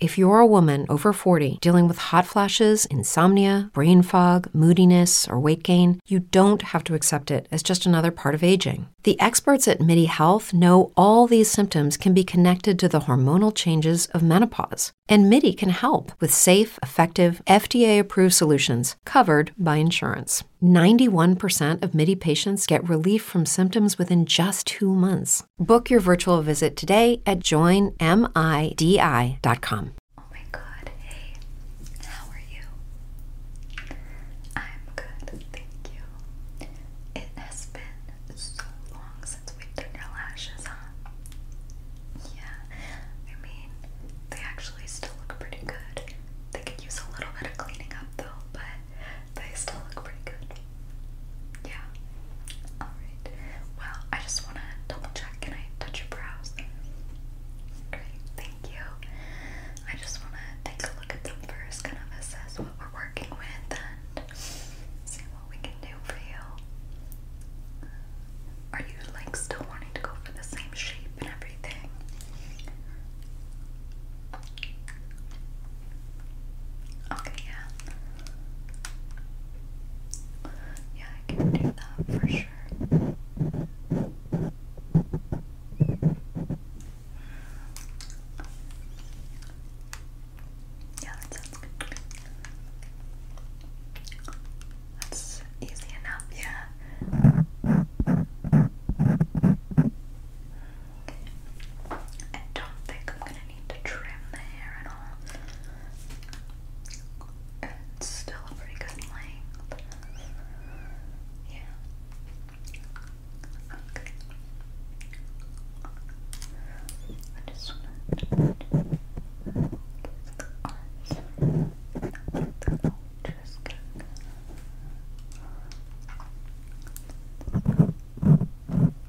If you're a woman over 40 dealing with hot flashes, insomnia, brain fog, moodiness, or weight gain, you don't have to accept it as just another part of aging. The experts at MIDI Health know all these symptoms can be connected to the hormonal changes of menopause, and MIDI can help with safe, effective, FDA approved solutions covered by insurance. 91% of MIDI patients get relief from symptoms within just two months. Book your virtual visit today at joinmidi.com. Oh my God. Hey, how are you? I'm good, thank you. It has been so long since we've your lashes, huh? Yeah, I mean, they actually still look pretty good. They could use a little bit of cleaning up though, but they still look pretty good. Yeah. Alright. Well, I just want to double check. Can I touch your brows? Great, thank you. I just want to take a look at them first, kind of assess what we're working with and see what we can do for you. Are you like still wanting to go for the same shape and everything? Okay, yeah. Yeah, I can do that for sure. Yeah, that sounds good. That's easy enough, yeah. I don't think I'm gonna need to trim the hair at all. It's still a pretty good length. Yeah. just want to Okay.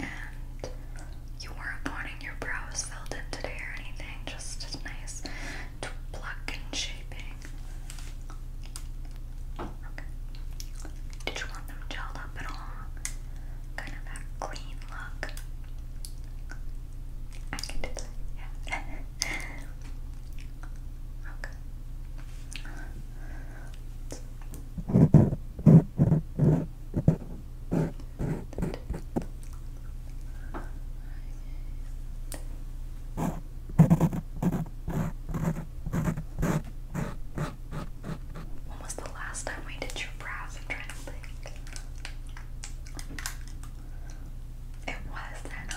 and you weren't wanting your brows filled in today or anything, just a nice to pluck and shaping. Did you want them gelled up at all? Kind of that clean look. I can do that, yeah. okay hands. The when was the last time we did your brows? I'm trying to think. It was then, uh,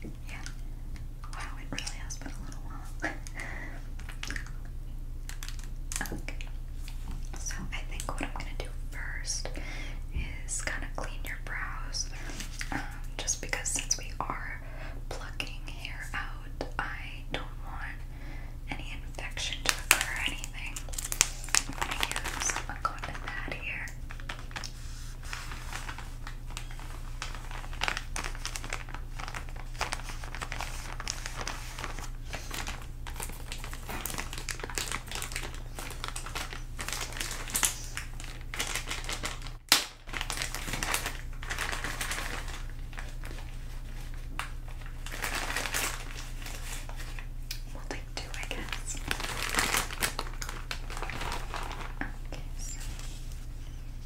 yeah. Wow, it really has been a little while. okay. So I think what I'm gonna do first is kind of clean your brows. Um, just because since we are plucking hair out, I don't want any infection to occur or anything. I'm gonna use a cotton pad here. We'll take I guess. Okay, so and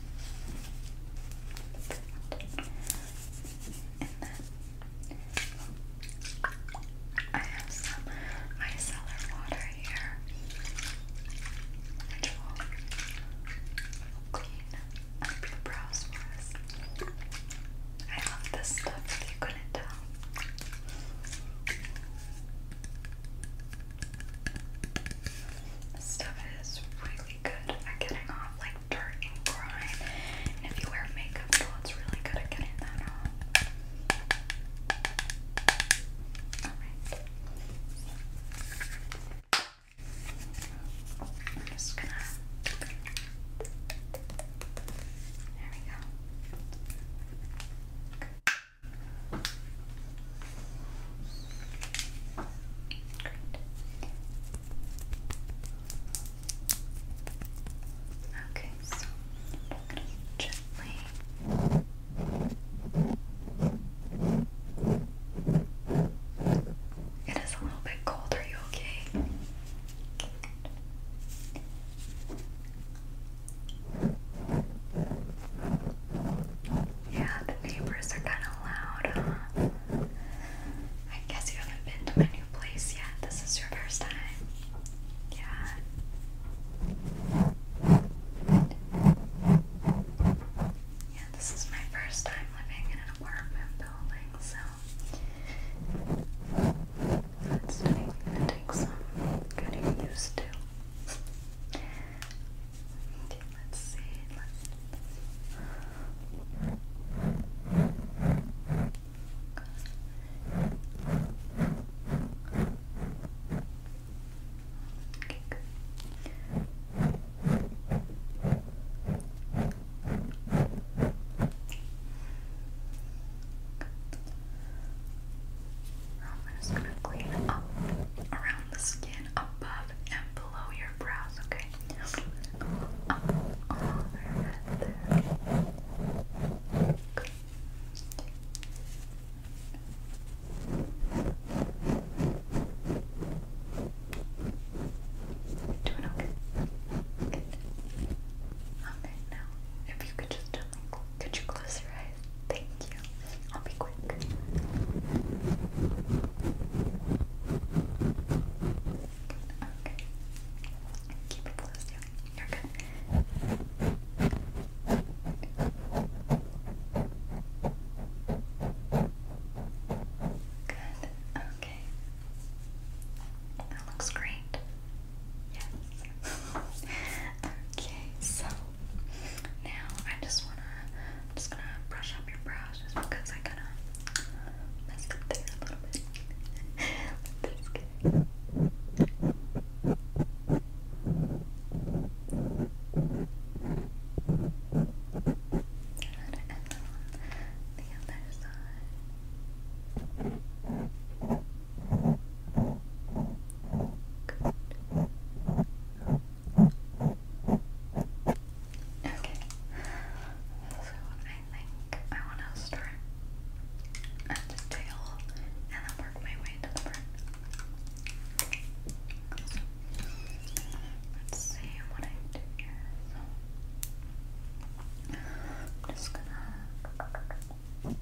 I have some micellar water here, which will clean up your brows for us. I love this stuff if you couldn't tell stuff is really good at getting off like dirt and grime. And if you wear makeup it's really good at getting that off. Alright. I'm just gonna. There we go. Okay, so I'm gonna gently It is a little bit cold, are you okay? Yeah, the neighbors are kind of loud, huh? I guess you haven't been to my new place yet. This is your first time. Yeah. Yeah, this is my first time living in an apartment building, so that's definitely going some getting used to. Okay, let's see. Let's okay, good. I'm just gonna clean up around the skin above and below your brows, okay? Doing okay. Good. Okay, now if you could just could you close your eyes? Thank you. I'll be quick. Okay. Keep it closed, You're good. Good. Okay. That looks great. Yes. okay, so now I just wanna, just gonna brush up your brows just because I kinda messed up there a little bit. Let's get and then the other side. Okay. So I think I want to start at the tail and then work my way to the front. let's see what I do here. So, I'm just gonna you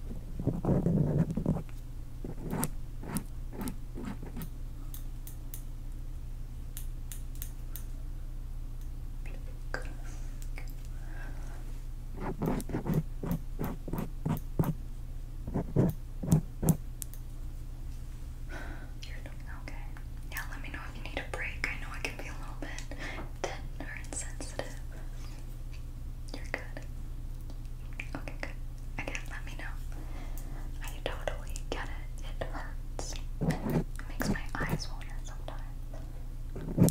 okay. Now let me know if you need a break. I know it can be a little bit tender and sensitive. You're good. Okay, good. Again, let me know. I totally get it. It hurts. It makes my eyes water sometimes.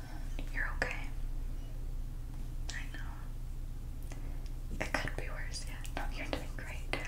You're okay. I know. It could be worse, yeah. No, you're doing great. Okay, good.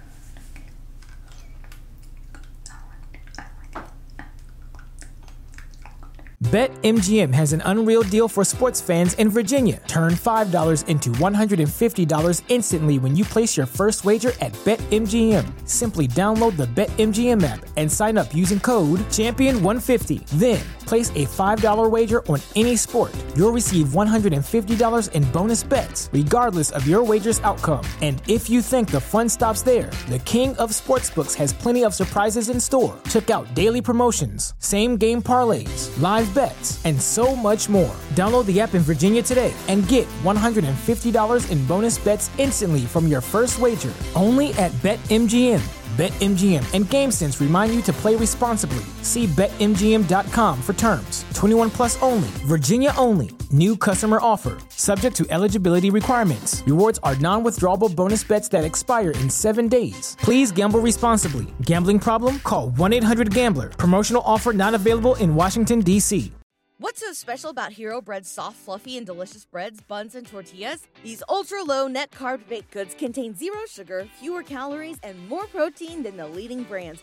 BetMGM has an unreal deal for sports fans in Virginia. Turn $5 into $150 instantly when you place your first wager at BetMGM. Simply download the BetMGM app and sign up using code Champion150. Then, place a $5 wager on any sport. You'll receive $150 in bonus bets regardless of your wager's outcome. And if you think the fun stops there, the King of Sportsbooks has plenty of surprises in store. Check out daily promotions, same game parlays, live bets, and so much more. Download the app in Virginia today and get $150 in bonus bets instantly from your first wager only at BetMGM. BetMGM and GameSense remind you to play responsibly See BetMGM.com for terms. 21 plus only. Virginia only. New customer offer. Subject to eligibility requirements. Rewards are non withdrawable bonus bets that expire in seven days. Please gamble responsibly. Gambling problem? Call 1 800 Gambler. Promotional offer not available in Washington, D.C. What's so special about Hero Bread's soft, fluffy, and delicious breads, buns, and tortillas? These ultra low net carb baked goods contain zero sugar, fewer calories, and more protein than the leading brands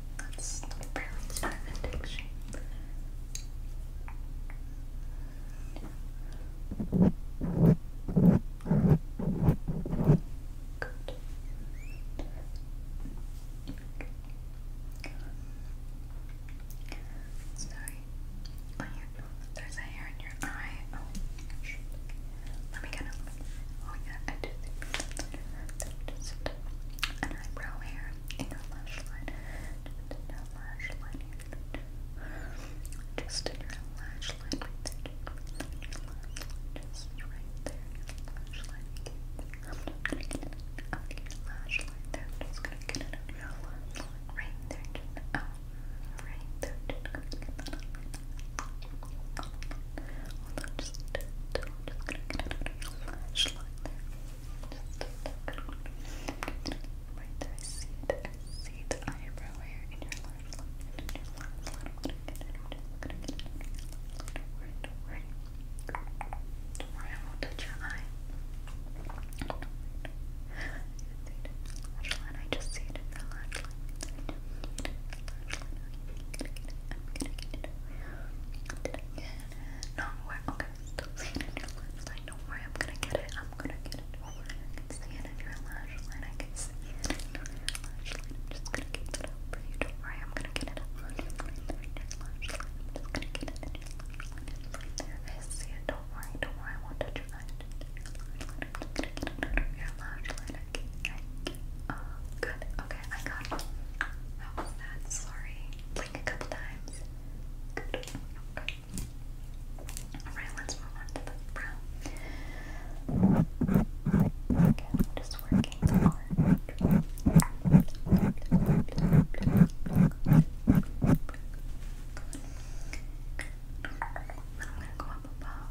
That's Pearlie's perfect shape. Good. Sorry. there's a hair in your eye. Oh, Let me get it. Oh, yeah, I do think your eyebrow hair and your lash line. Just in your lash line here. Just in your lash line right there. Just right there. Your lash line. I'm not gonna get it out your lash line there. just gonna get it out your lash line right there. Just out. Right there. Just gonna get that Hold on, just, just, just gonna get another flashlight there. Just right there. I see it. I see the eyebrow hair in your left line. In your left line. I'm gonna get it. I'm just gonna get it. Don't worry, don't worry. Don't worry, I won't touch your eye. Don't worry, don't worry. I just see it in your lash line. I just see it in your lash line. I just see it in your lash line. I'm gonna get it. I'm gonna get it. No, where? Okay, still seeing it in your lash line. Don't worry, I'm gonna get it. I'm gonna get it. Don't worry, I can see it in your lash line. I can see it in your lash line. I'm just gonna get it up for you. Don't worry, I'm gonna get it up for you. In your lash line. I'm just gonna get it in your lash line. It's right there. I see it. Don't worry, don't worry. I won't touch your eye. Just in your lash line. I'm just gonna get it out of your lash line. I can, I Oh, good. Okay, I got How was that? Sorry. Blink a couple times. Good. Alright, let's move on to the brow. just working hard. Good. Then i go up above.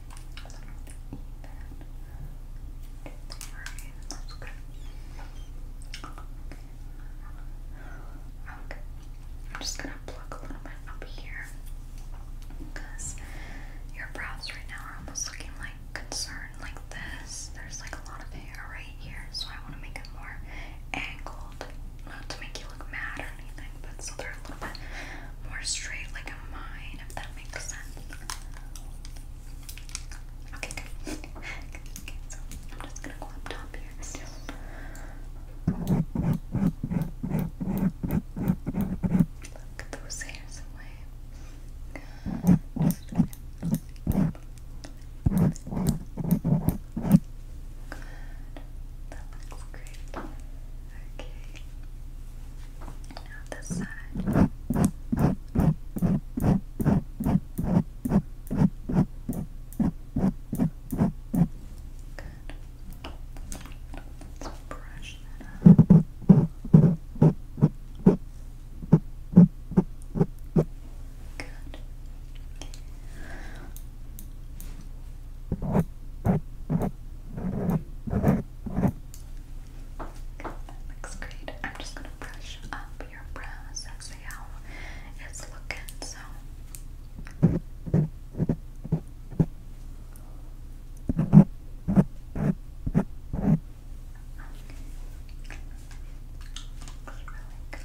Okay. I'm just gonna pluck a little bit up here because your brows right now are almost looking like concerned like this. There's like a lot of hair right here, so I want to make it more angled, not to make you look mad or anything, but so they're a little bit more straight like a mine, that makes Okay, good. I'm just gonna go up top here. Look those hairs away. That looks great. Okay. Now this side. Good. Let's brush that Good looks great. I'm just gonna brush up your brows and see how it's looking. So. Looks really good.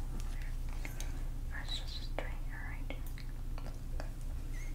Oh, there is just straighten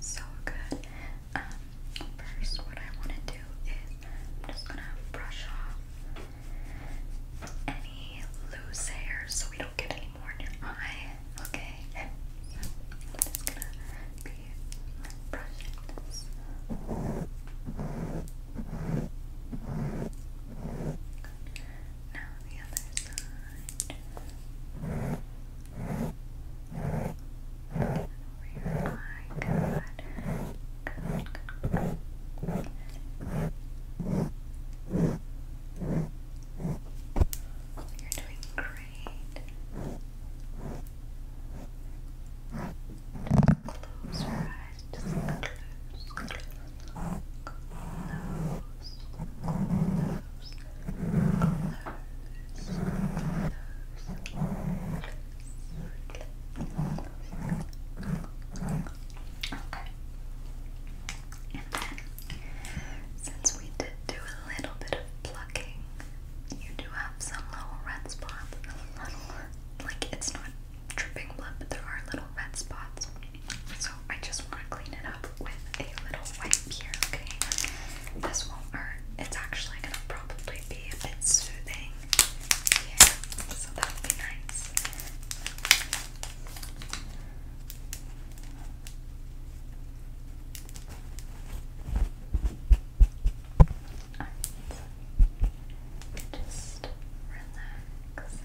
so good. Um, first, what I want to do is just gonna brush off any loose hair so we don't get any more in your eye. Okay, just gonna be this. Now the other side. Over your eye. You're doing great. Just close your eyes. Just close, close, close. And then, since we did do a little bit of plucking, you do have some little red spots. like it's not dripping blood, but there are little red spots. So I just want to clean it up with a little wipe here, okay? This won't hurt. It's actually gonna probably be a bit soothing so that'll be nice. Just relax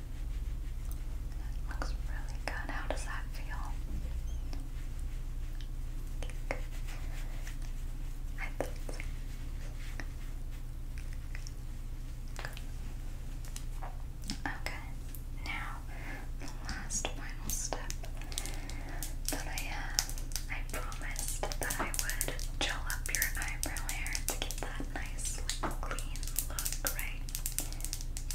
looks really good. How does that feel? Okay, now the last final step that I I promised that I would gel up your eyebrow hair to get that nice, clean look, right?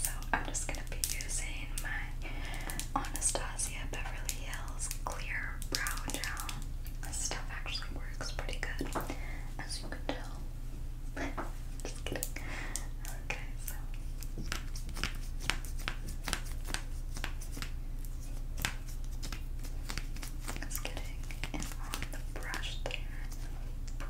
So I'm just gonna going to be using my Anastasia Beverly Hills Clear Brow Gel. This stuff actually works pretty good, as you can tell. Okay, so. Just getting it on the brush there.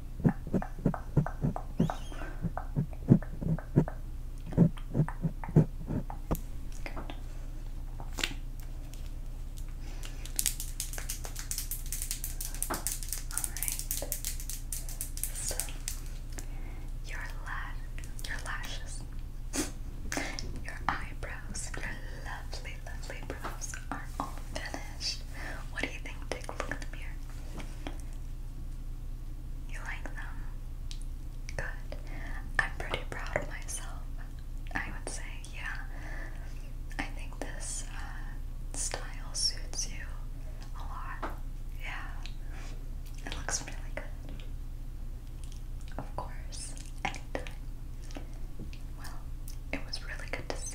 So your lashes, your eyebrows, your lovely, lovely brows are all finished. What do you think take a look in the mirror. You like them? Good. I'm pretty proud of myself. I would say, yeah. I think this uh, style suits you a lot. Yeah. It looks really good. Of course, anytime. Well, it was really good to see.